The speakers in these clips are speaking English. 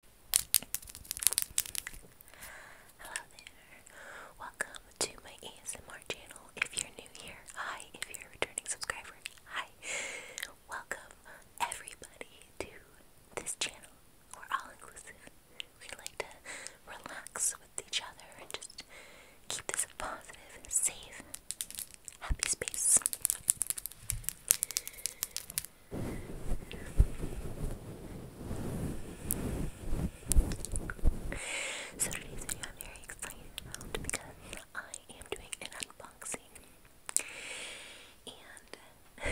Hello there. Welcome to my ASMR channel. If you're new here, hi. If you're a returning subscriber, hi. Welcome everybody to this channel. We're all inclusive. We like to relax with each other and just keep this a positive, safe, happy space. So today's video I'm very excited about because I am doing an unboxing. And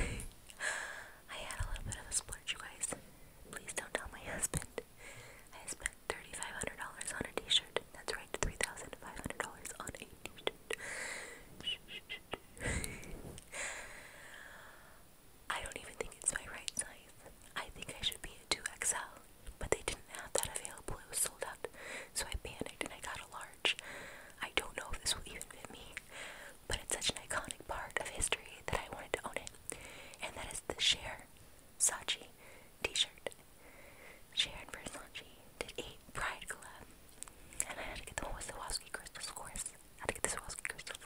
I had a little bit of a splurge, you guys. Please don't tell my husband. I spent $3,500 on a t-shirt. That's right, $3,500 on a t-shirt. I don't even think it's my right size. I think I should be a 2XL, but they didn't have that available. It was sold out. So I panicked and I got a large. I don't know if this will even fit me, but it's such an iconic part of history that I wanted to own it. And that is the Cher Saatchi t shirt. Cher and Versace did a pride collab, and I had to get the Wazowski crystals, of course how to get the Swarovski crystals.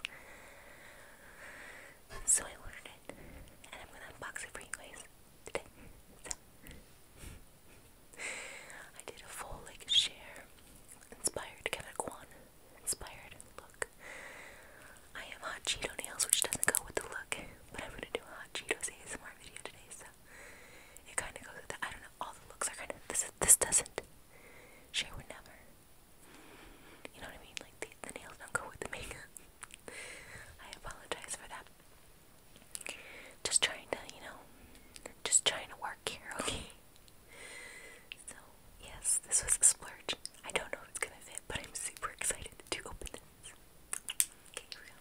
So I ordered it, and I'm gonna unbox it for you guys today. So, I did a full like share, inspired kind Kevin Kwan, inspired look. I have hot Cheeto nails, which doesn't go with the look, but I'm gonna do a hot Cheetos ASMR video today, so it kind of goes with that. I don't know. All the looks are kind of this. This doesn't. Sure would never. You know what I mean? Like the, the nails don't go with the makeup. I apologize for that. Just trying to, you know, just trying to work here, okay? So, yes, this was a splurge. I don't know if it's gonna fit, but I'm super excited to open this. Okay, here we go.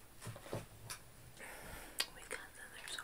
We got another song.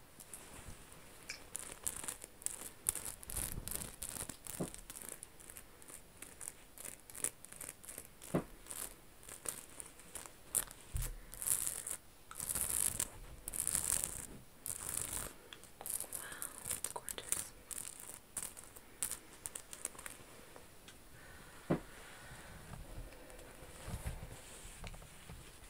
gorgeous.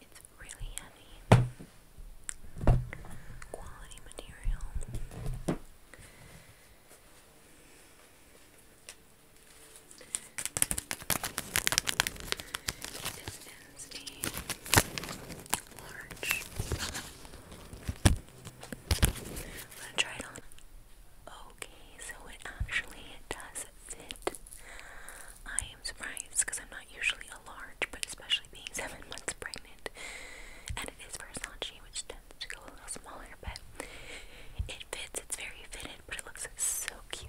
it's really heavy. Quality material. This is a large. gonna try it on. Okay, so it actually does fit I am surprised because I'm not usually a large, but especially being seven months pregnant, and it is for Versace, which tends to go a little smaller, but it fits. It's very fitted, but it looks so cute.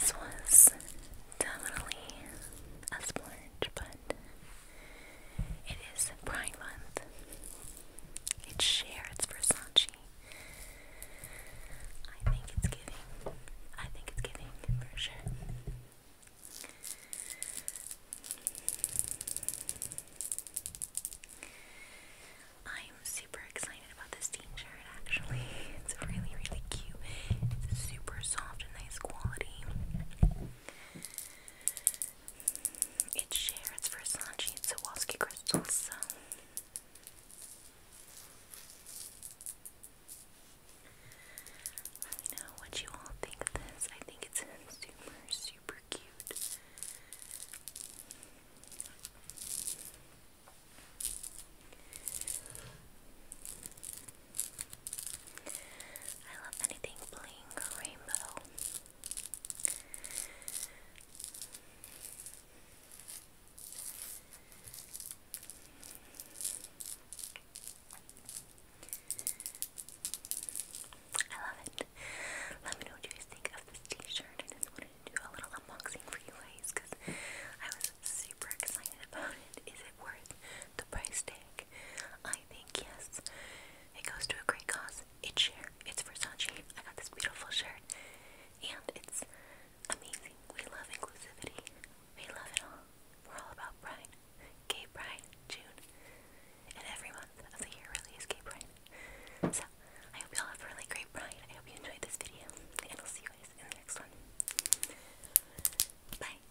So, this was definitely a splurge, but it is a Pride Month. It's Cher, it's Versace. I think it's giving. I think it's giving for sure. I'm super excited about this t shirt actually. It's really, really cute. It's super soft and nice quality. It shares Versace and Swarovski crystals, so. Let me know what you all think of this. I think it's super, super cute. I love anything bling or rainbow. I love it. Let me know what you guys think of this t-shirt. I just wanted to do a little unboxing for you guys because I was super excited about it. Is it worth the price tag? I I think, yes. It goes to a great cause. It's sheer. It's Versace. I got this beautiful shirt. And it's amazing. We love inclusivity. We love it all. We're all about pride. Gay pride, June. And every month of the year really is gay pride. So, I hope y'all have really great pride. I hope you enjoyed this video. And I'll see you guys in the next one. Bye.